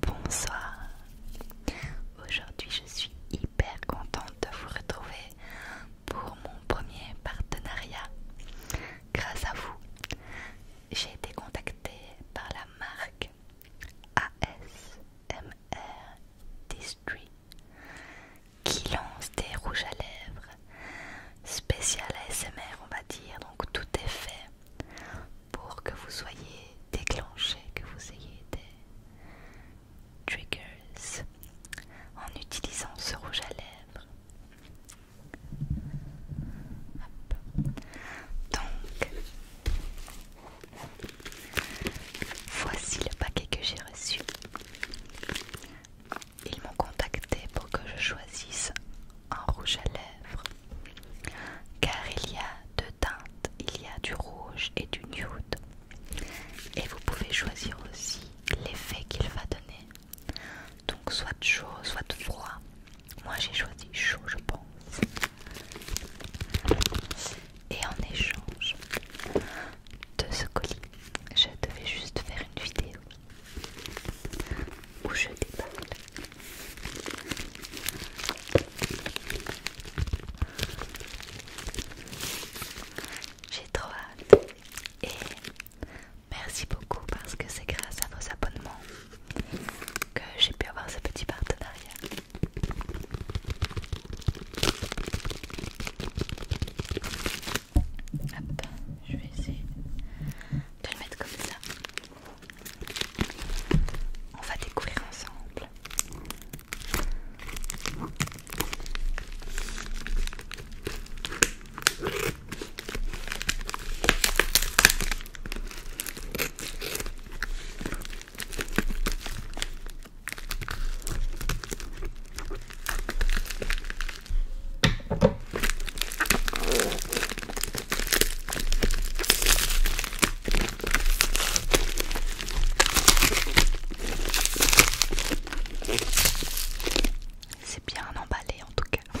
Bonsoir, aujourd'hui je suis hyper contente de vous retrouver pour mon premier partenariat. Grâce à vous, j'ai été contactée par la marque ASMR District qui lance des rouges à lèvres spécial ASMR on va dire, donc tout est fait pour que vous soyez déclenché, que vous ayez des triggers en utilisant ce rouge à lèvres. Donc, voici le paquet que j'ai reçu ils m'ont contacté pour que je choisisse un rouge à lèvres. Car il y a deux teintes, il y a du rouge et du nude. Et vous pouvez choisir aussi l'effet qu'il va donner. Donc soit chaud, soit froid. Moi j'ai choisi chaud je pense. Et en échange de ce colis, je devais juste faire une vidéo où je déballe. J'ai trop hâte et merci beaucoup parce que c'est grâce à vos abonnements que j'ai pu avoir ce petit partenariat. Hop, je vais essayer de le mettre comme ça. On va découvrir ensemble. C'est bien emballé en tout cas.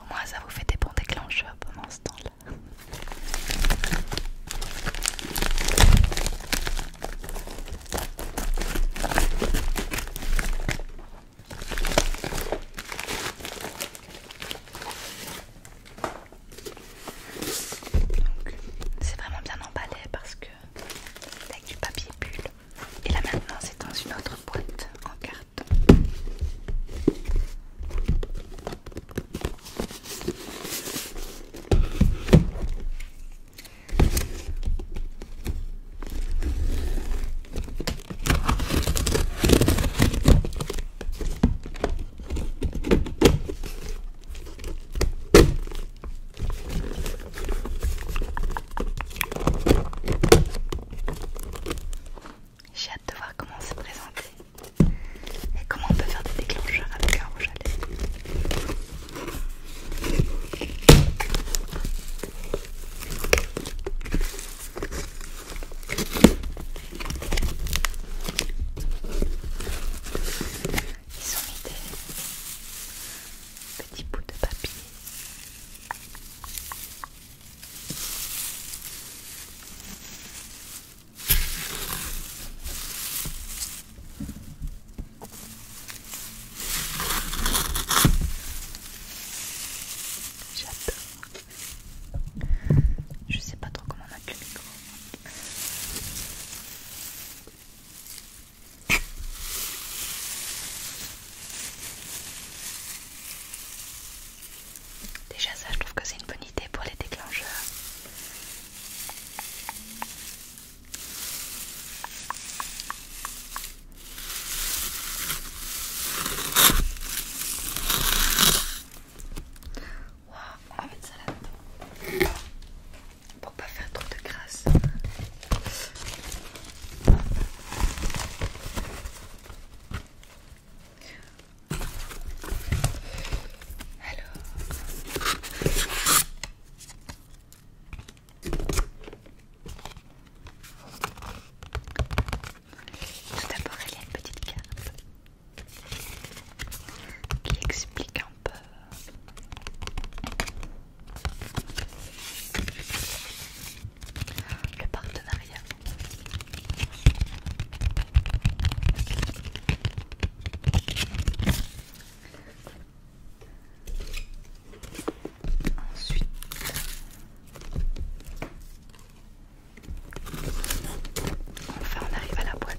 Au moins ça vous fait des bons déclencheurs pendant ce temps-là. C'est vraiment bien emballé parce que avec du papier bulle. Et là maintenant c'est dans une autre boîte en carton. J'ai hâte de voir comment c'est présenté et comment on peut faire des déclencheurs avec un rouge à lèvres. Ils sont mis des petits bouts de papier J'adore. Je sais pas trop comment mettre le micro. Déjà ça je trouve que c'est une bonne idée pour les déclencheurs pour pas faire trop de grâce. Tout d'abord, il y a une petite carte qui explique le partenariat. Ensuite, enfin on arrive à la boîte.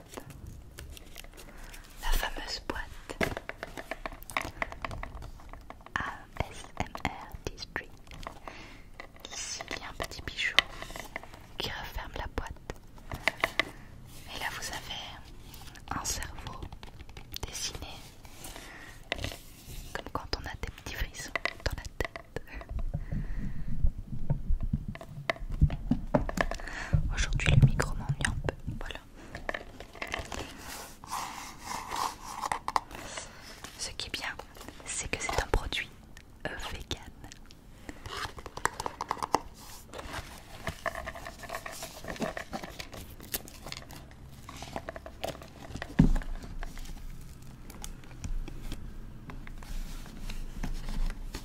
La fameuse boîte ASMR District. Ici, il y a un petit bijou qui referme la boîte. Et là, vous avez un cerveau dessiné comme quand on a des petits frissons dans la tête. Aujourd'hui, le micro m'ennuie un peu. Voilà. Ce qui est bien, c'est que c'est un produit euh, vegan.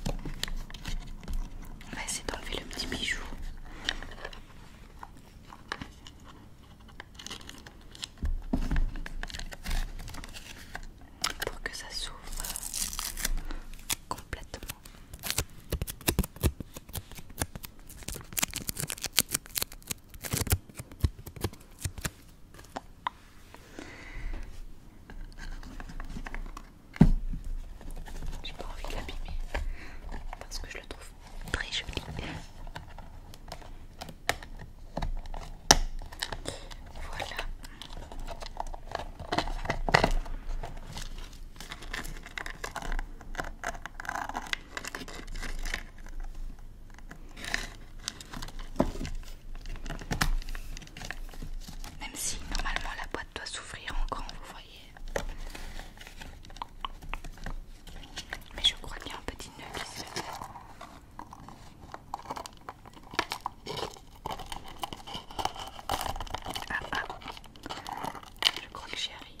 On va essayer d'enlever le petit bijou. Pour que ça s'ouvre complètement. J'ai pas envie de l'abîmer parce que je le trouve très joli. Voilà. Même si normalement la boîte doit s'ouvrir en grand, vous voyez. Mais je crois bien un petit nœud qui Ah ah, je crois que j'y arrive.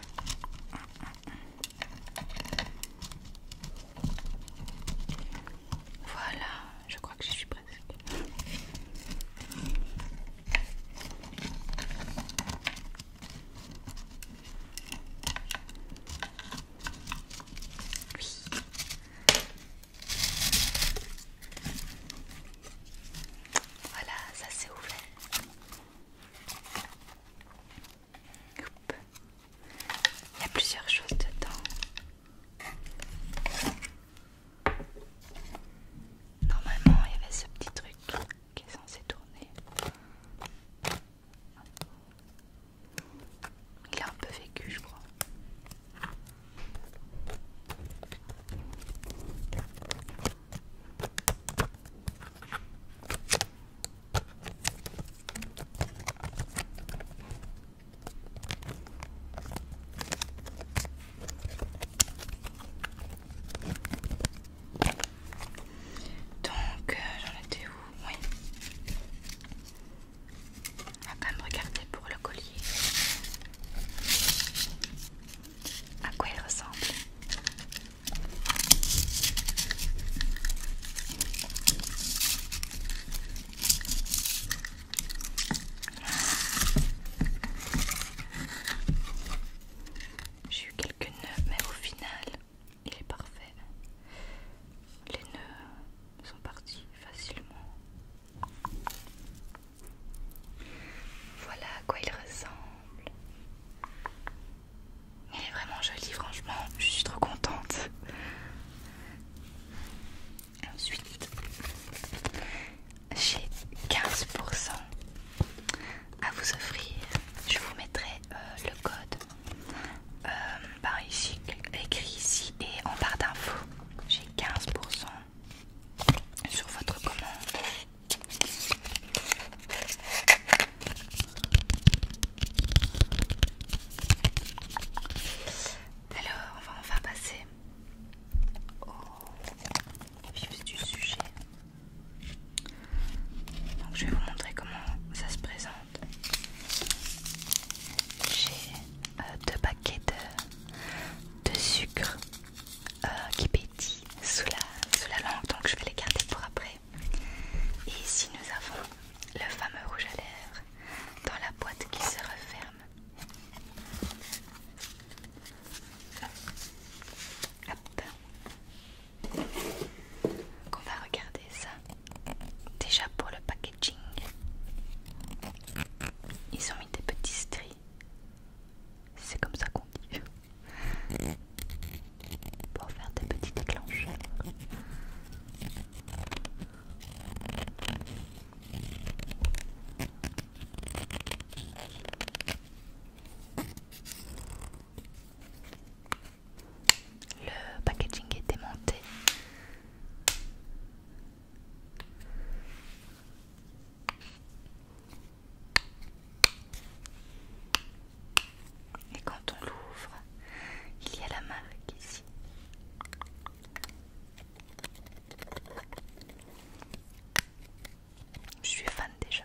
Voilà, je crois que je suis presque. Voilà, ça s'est ouvert. Il y a plusieurs choses dedans. Normalement, il y avait ce petit truc qui est censé tourner. Il a un peu vécu, je crois. Donc, j'en euh, j'en étais où Oui. On va quand même regarder pour le collier à quoi il ressemble. J'ai eu quelques nœuds, mais au final, il est parfait. Les nœuds sont partis facilement. Voilà à quoi il ressemble. Il est vraiment joli, franchement. Je suis trop contente. Ensuite, j'ai 15% à vous offrir. Je vous mettrai euh, le code euh, par ici, écrit ici et en barre d'infos. J'ai 15% sur votre commande. Alors, on va enfin passer au vif du sujet. Donc, je vais vous montrer comment ça se présente. J'ai euh, deux paquets de, sucre euh, qui pèse sous la, langue, donc je vais les garder pour après. Et ici nous avons le fameux rouge à lèvres dans la boîte qui se referme. Hop. On va regarder ça. Déjà pour le packaging, ils ont mis des petits strips c'est comme ça qu'on dit. Pour faire des petits déclencheurs. Le packaging est démonté. Et quand on l'ouvre, il y a la marque ici. Je suis fan déjà.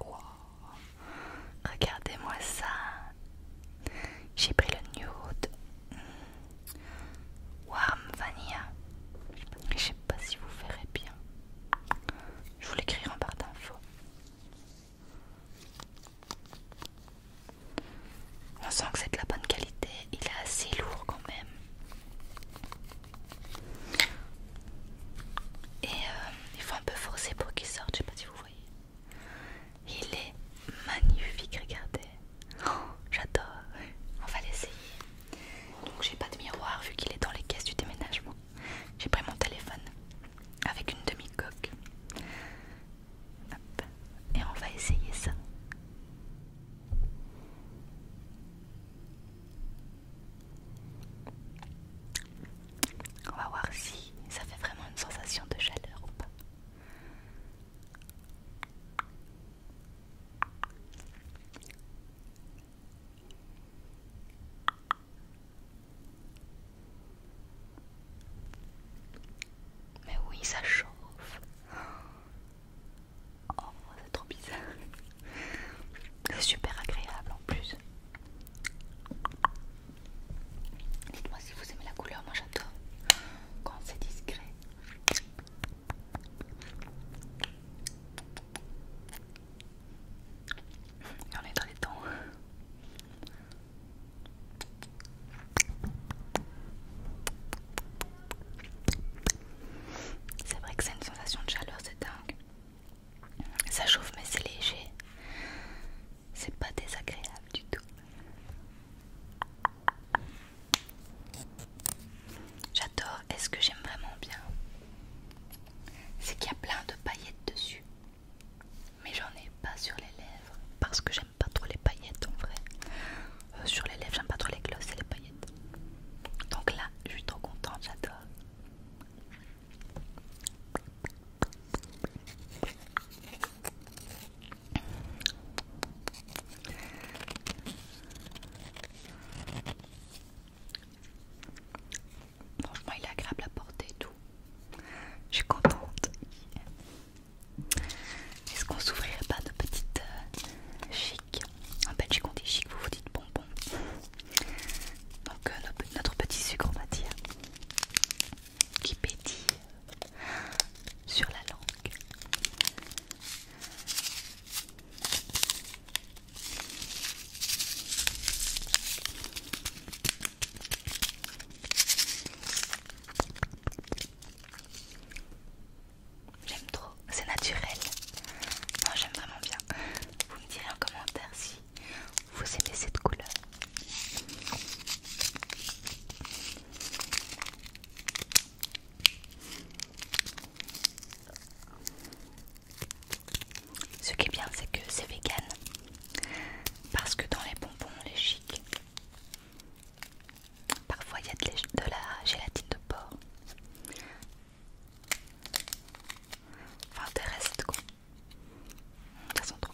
Wow. Regardez-moi ça. J'ai pris le nude hmm. Warm Vanilla. Je sais pas si vous verrez bien. Je vous l'écrirai en barre d'infos. On sent que c'est de la bonne qualité. Il est assez lourd quand même. Et euh, il faut un peu forcer pour qu'il sorte, je sais pas si vous voyez. Il est magnifique, regardez. Oh, j'adore. On va l'essayer. Donc j'ai pas de miroir vu qu'il est dans les caisses du déménagement. J'ai pris mon téléphone avec une demi-coque. Et on va essayer ça. On va voir si ça fait vraiment une sensation de chaleur ou pas. Mais oui, ça chauffe. Oh, c'est trop bizarre. C'est super agréable en plus. Dites-moi si vous aimez la couleur, moi j'adore quand c'est discret. on est dans les temps. C'est vrai que c'est une sensation de chaleur, c'est un ça chauffe mais c'est léger. C'est pas désagréable du tout. J'adore. Est-ce que j'aime vraiment bien C'est qu'il y a plein de paillettes dessus. Mais j'en ai pas sur les lèvres. Parce que j'aime pas trop les paillettes en vrai. Euh, sur les lèvres, j'aime pas trop les glosses et les paillettes. Donc là, je suis trop contente, j'adore. Franchement, il est agréable à porter et tout. Je suis contente. Est-ce qu'on s'ouvrirait pas de petites filles euh, un En Belgique, vous vous dites bonbon. Donc, euh, notre petit sucre, on va dire, qui pétille sur la langue. J'aime trop, c'est naturel. Moi j'aime vraiment bien. Vous me direz en commentaire si vous aimez cette couleur. Ce qui est bien, c'est que c'est vegan. Parce que dans les bonbons, les chics, parfois il y a de la gélatine de porc. Enfin de quoi. Ça sent trop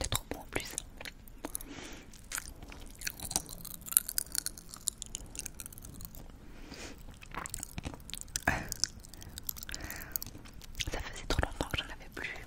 c'est trop bon en plus. Ça faisait trop longtemps que j'en avais plus.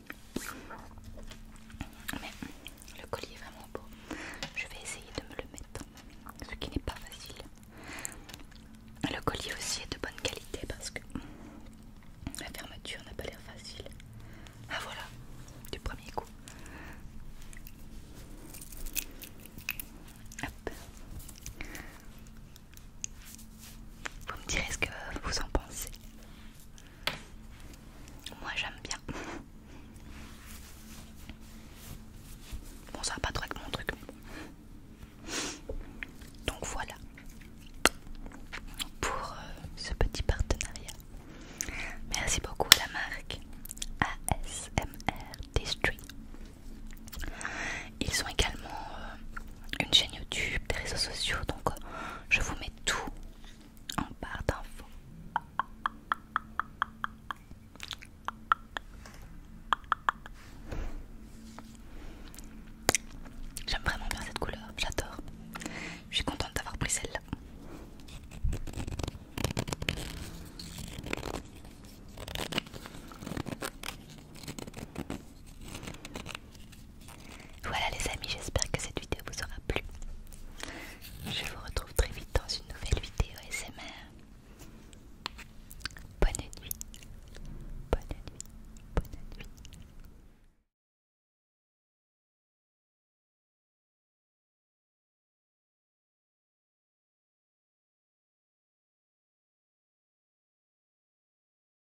Mais le collier est vraiment beau. Je vais essayer de me le mettre, ce qui n'est pas facile. Le collier aussi est de bonne qualité parce que la fermeture n'a pas l'air facile. Ah voilà, du premier coup. Vous me direz ce que vous en pensez. Moi j'aime bien. Bon ça va pas trop avec mon truc Donc voilà pour euh, ce petit partenariat. Merci beaucoup à la marque ASMR District Ils ont également euh, une chaîne YouTube, des réseaux sociaux. Donc, euh, je vous mets tout en barre d'infos. J'aime vraiment bien cette couleur, j'adore. Je suis contente d'avoir pris celle-là. Voilà les amis, j'espère que cette vidéo vous aura plu. Je vous retrouve très vite dans une nouvelle vidéo SMR. Bonne nuit. Bonne nuit. Bonne nuit.